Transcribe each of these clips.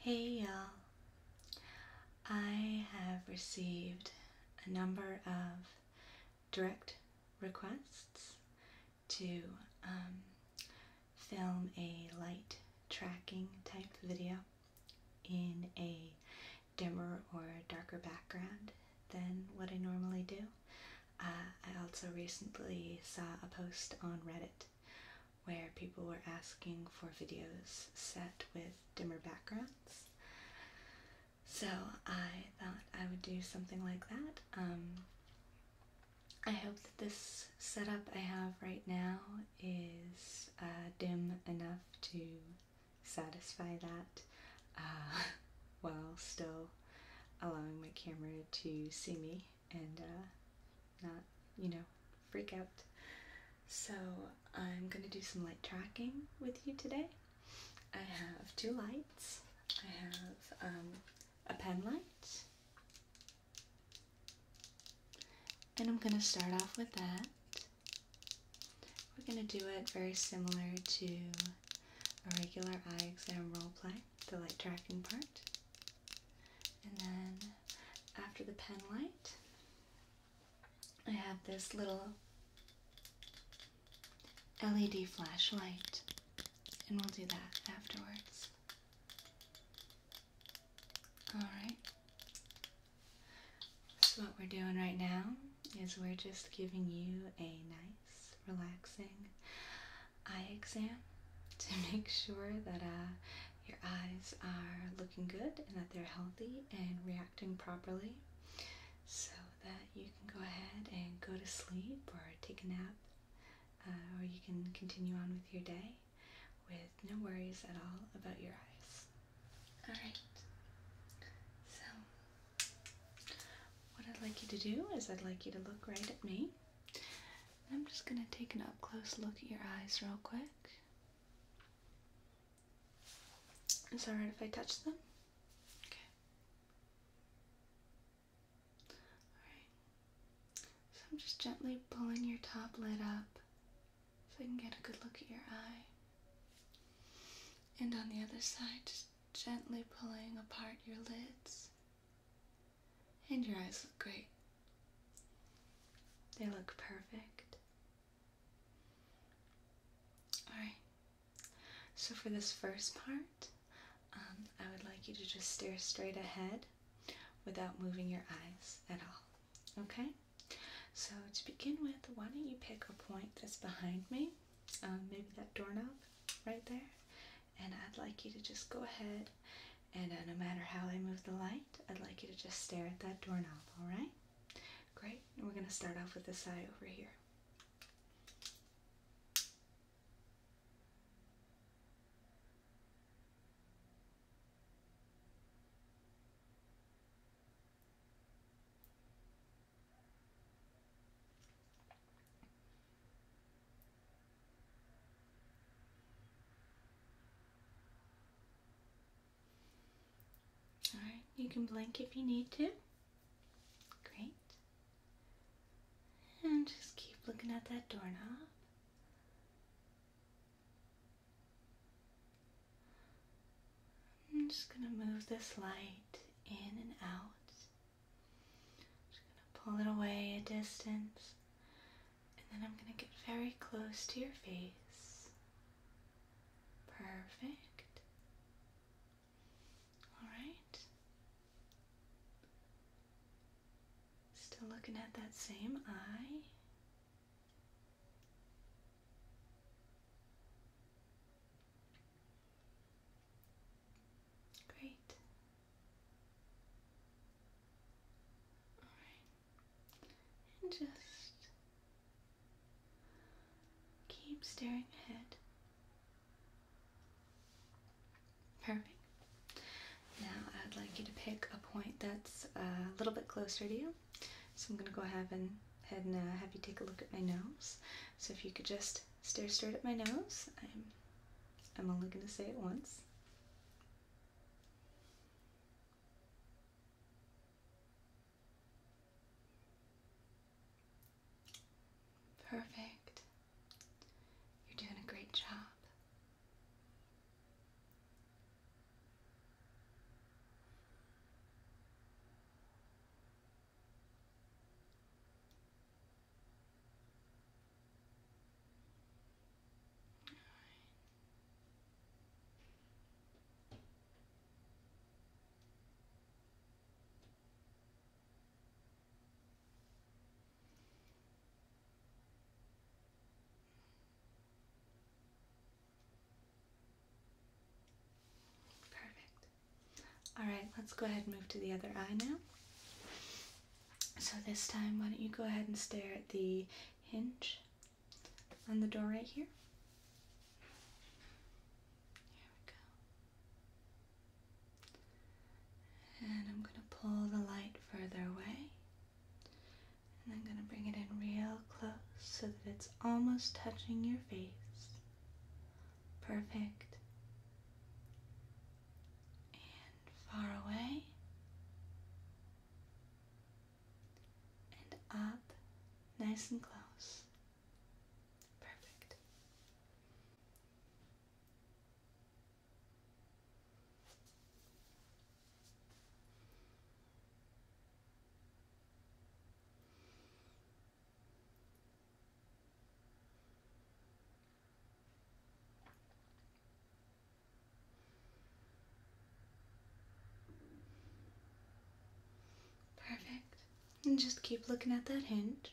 Hey y'all. I have received a number of direct requests to um, film a light tracking type video in a dimmer or darker background than what I normally do. Uh, I also recently saw a post on Reddit where people were asking for videos set with dimmer backgrounds. So I thought I would do something like that. Um, I hope that this setup I have right now is uh, dim enough to satisfy that uh, while still allowing my camera to see me and uh, not, you know, freak out. So I'm going to do some light tracking with you today. I have two lights. I have um, a pen light and I'm going to start off with that. We're going to do it very similar to a regular eye exam role play, the light tracking part. And then after the pen light, I have this little LED flashlight, and we'll do that afterwards. Alright. So, what we're doing right now is we're just giving you a nice, relaxing eye exam to make sure that uh, your eyes are looking good and that they're healthy and reacting properly so that you can go ahead and go to sleep or take a nap uh, or you can continue on with your day with no worries at all about your eyes. Alright, so what I'd like you to do is I'd like you to look right at me. I'm just going to take an up close look at your eyes real quick. Is that alright if I touch them? Okay. Alright. So I'm just gently pulling your top lid up so I can get a good look at your eye. And on the other side, just gently pulling apart your lids. And your eyes look great. They look perfect. Alright, so for this first part, um, I would like you to just stare straight ahead without moving your eyes at all. Okay? So, to begin with, why don't you pick a point that's behind me, um, maybe that doorknob right there, and I'd like you to just go ahead and uh, no matter how I move the light, I'd like you to just stare at that doorknob, alright? Great, and we're going to start off with the side over here. All right, you can blink if you need to. Great. And just keep looking at that doorknob. I'm just going to move this light in and out. Just going to pull it away a distance. And then I'm going to get very close to your face. Perfect. All right. Still looking at that same eye. Great. All right. And just keep staring ahead. Perfect. Now I'd like you to pick a point that's uh, a little bit closer to you. So I'm going to go ahead and, and uh, have you take a look at my nose. So if you could just stare straight at my nose. I'm only going to say it once. Perfect. You're doing a great job. Perfect. All right, let's go ahead and move to the other eye now. So this time, why don't you go ahead and stare at the hinge on the door right here? Here we go. And I'm going to pull the light further away. And I'm going to bring it in real close so that it's almost touching your face. Perfect. And far away. And up, nice and close. Perfect. Perfect. And just keep looking at that hinge.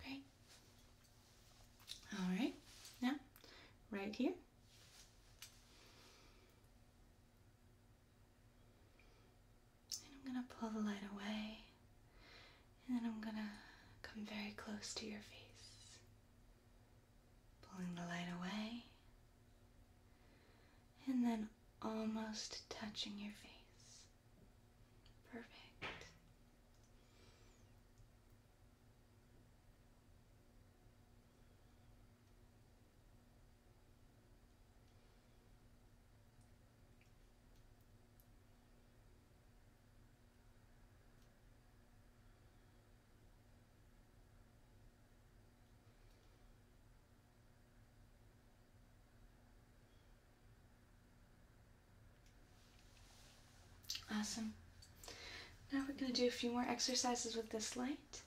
Okay. All right. Now, right here. And I'm going to pull the light away. And then I'm going to come very close to your face. Pulling the light away and then almost touching your face. Perfect. Awesome. Now we're going to do a few more exercises with this light.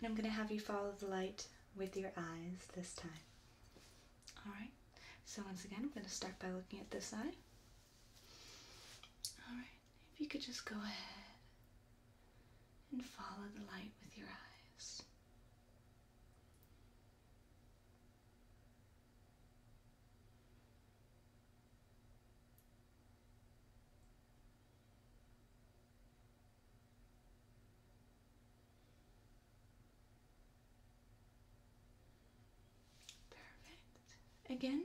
And I'm going to have you follow the light with your eyes this time. Alright, so once again, I'm going to start by looking at this eye. Alright, if you could just go ahead and follow the light with your eyes. Perfect. Again.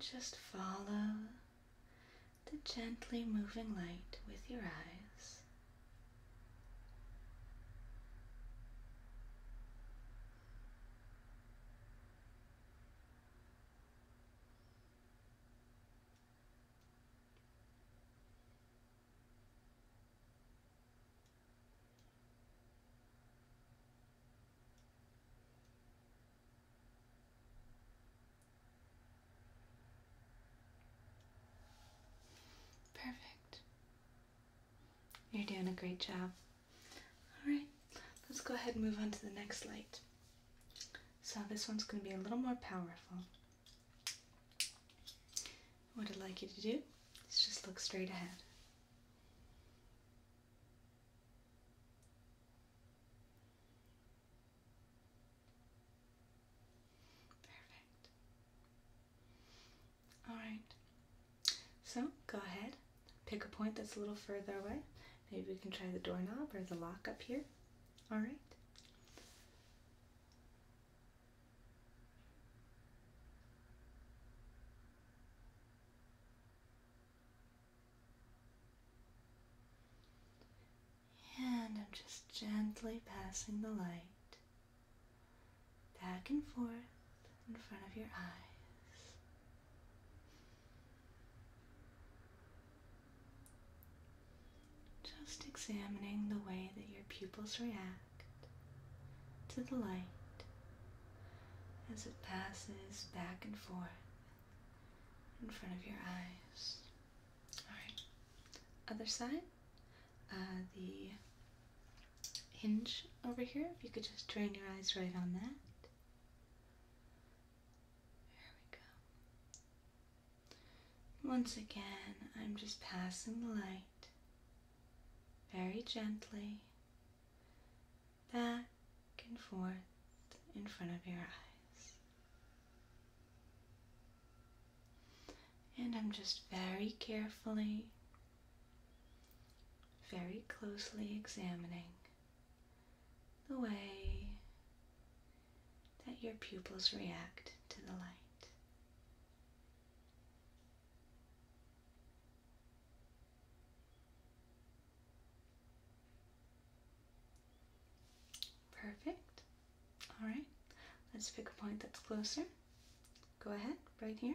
just follow the gently moving light with your eyes. Perfect. You're doing a great job. All right, let's go ahead and move on to the next light. So, this one's going to be a little more powerful. What I'd like you to do is just look straight ahead. Perfect. Alright, so go ahead, pick a point that's a little further away. Maybe we can try the doorknob or the lock up here. Alright. And I'm just gently passing the light back and forth in front of your eyes. Just examining the way that your pupils react to the light as it passes back and forth in front of your eyes. Alright, other side, uh, the hinge over here, if you could just train your eyes right on that. There we go. Once again, I'm just passing the light very gently back and forth in front of your eyes. And I'm just very carefully, very closely examining the way that your pupils react to the light. Perfect. All right, let's pick a point that's closer. Go ahead, right here.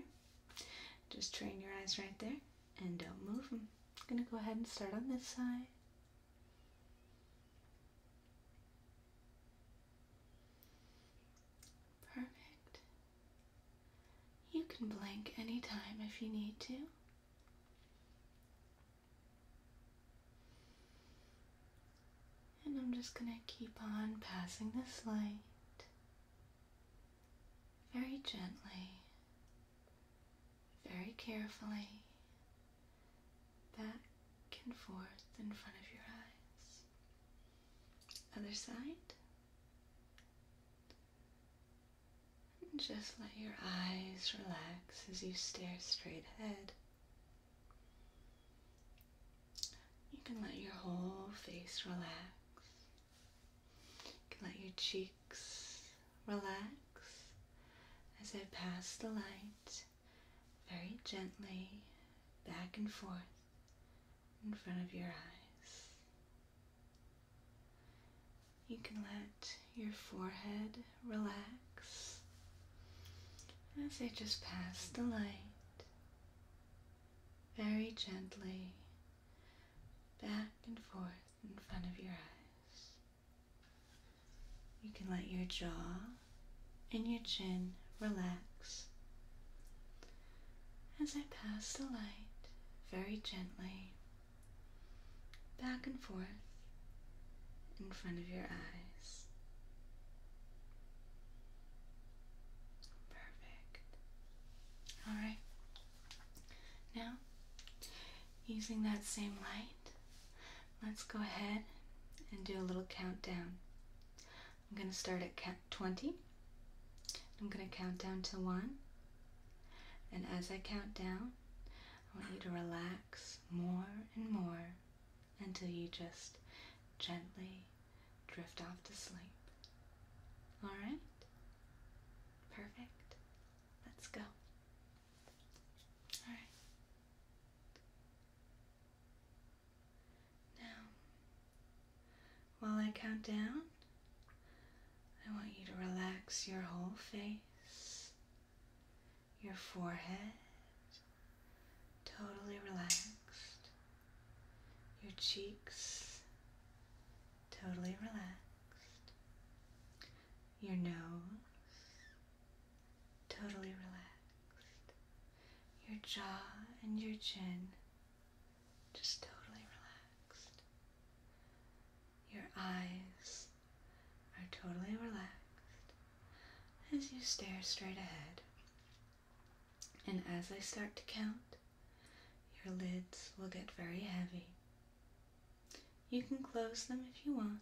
Just train your eyes right there and don't move them. I'm gonna go ahead and start on this side. Perfect. You can blink anytime if you need to. And I'm just going to keep on passing this light very gently, very carefully back and forth in front of your eyes. Other side. just let your eyes relax as you stare straight ahead. You can let your whole face relax. You can let your cheeks relax as I pass the light very gently back and forth in front of your eyes. You can let your forehead relax as I just pass the light very gently back and forth in front of your eyes. You can let your jaw and your chin relax as I pass the light very gently back and forth in front of your eyes. Perfect. All right. Now, using that same light, let's go ahead and do a little countdown. I'm going to start at 20. I'm going to count down to 1. And as I count down, I want you to relax more and more until you just gently drift off to sleep. All right? Perfect. Let's go. Now, while I count down, I want you to relax your whole face, your forehead, totally relaxed, your cheeks, totally relaxed, your nose, totally relaxed. Your jaw and your chin just totally relaxed. Your eyes are totally relaxed as you stare straight ahead. And as I start to count, your lids will get very heavy. You can close them if you want,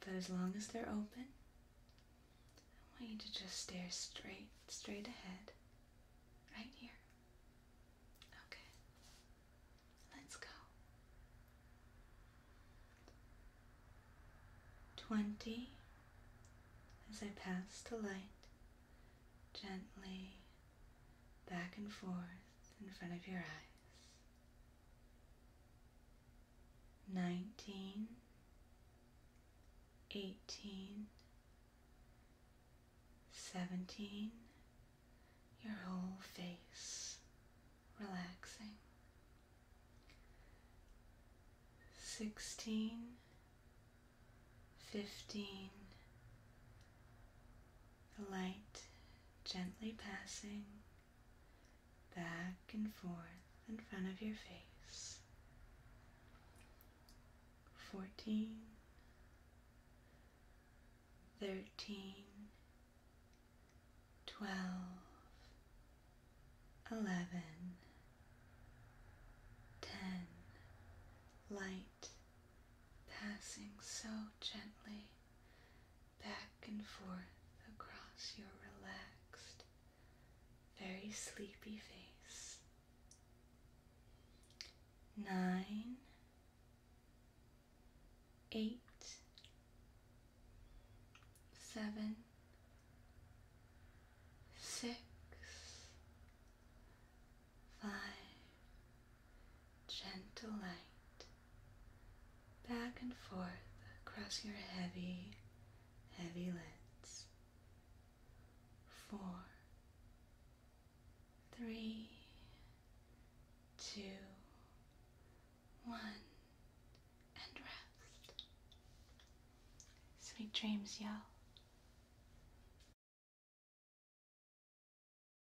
but as long as they're open, I want you to just stare straight, straight ahead, right here. Okay, let's go. 20 as I pass the light gently back and forth in front of your eyes nineteen, eighteen, seventeen, your whole face relaxing, sixteen, fifteen, the light gently passing back and forth in front of your face. 14, 13, 12, 11, 10, light passing so gently back and forth across your relaxed, very sleepy face. Nine, eight, seven, six, five, gentle light back and forth across your heavy, heavy lids. Four, three, two, one, and rest. Sweet dreams, y'all.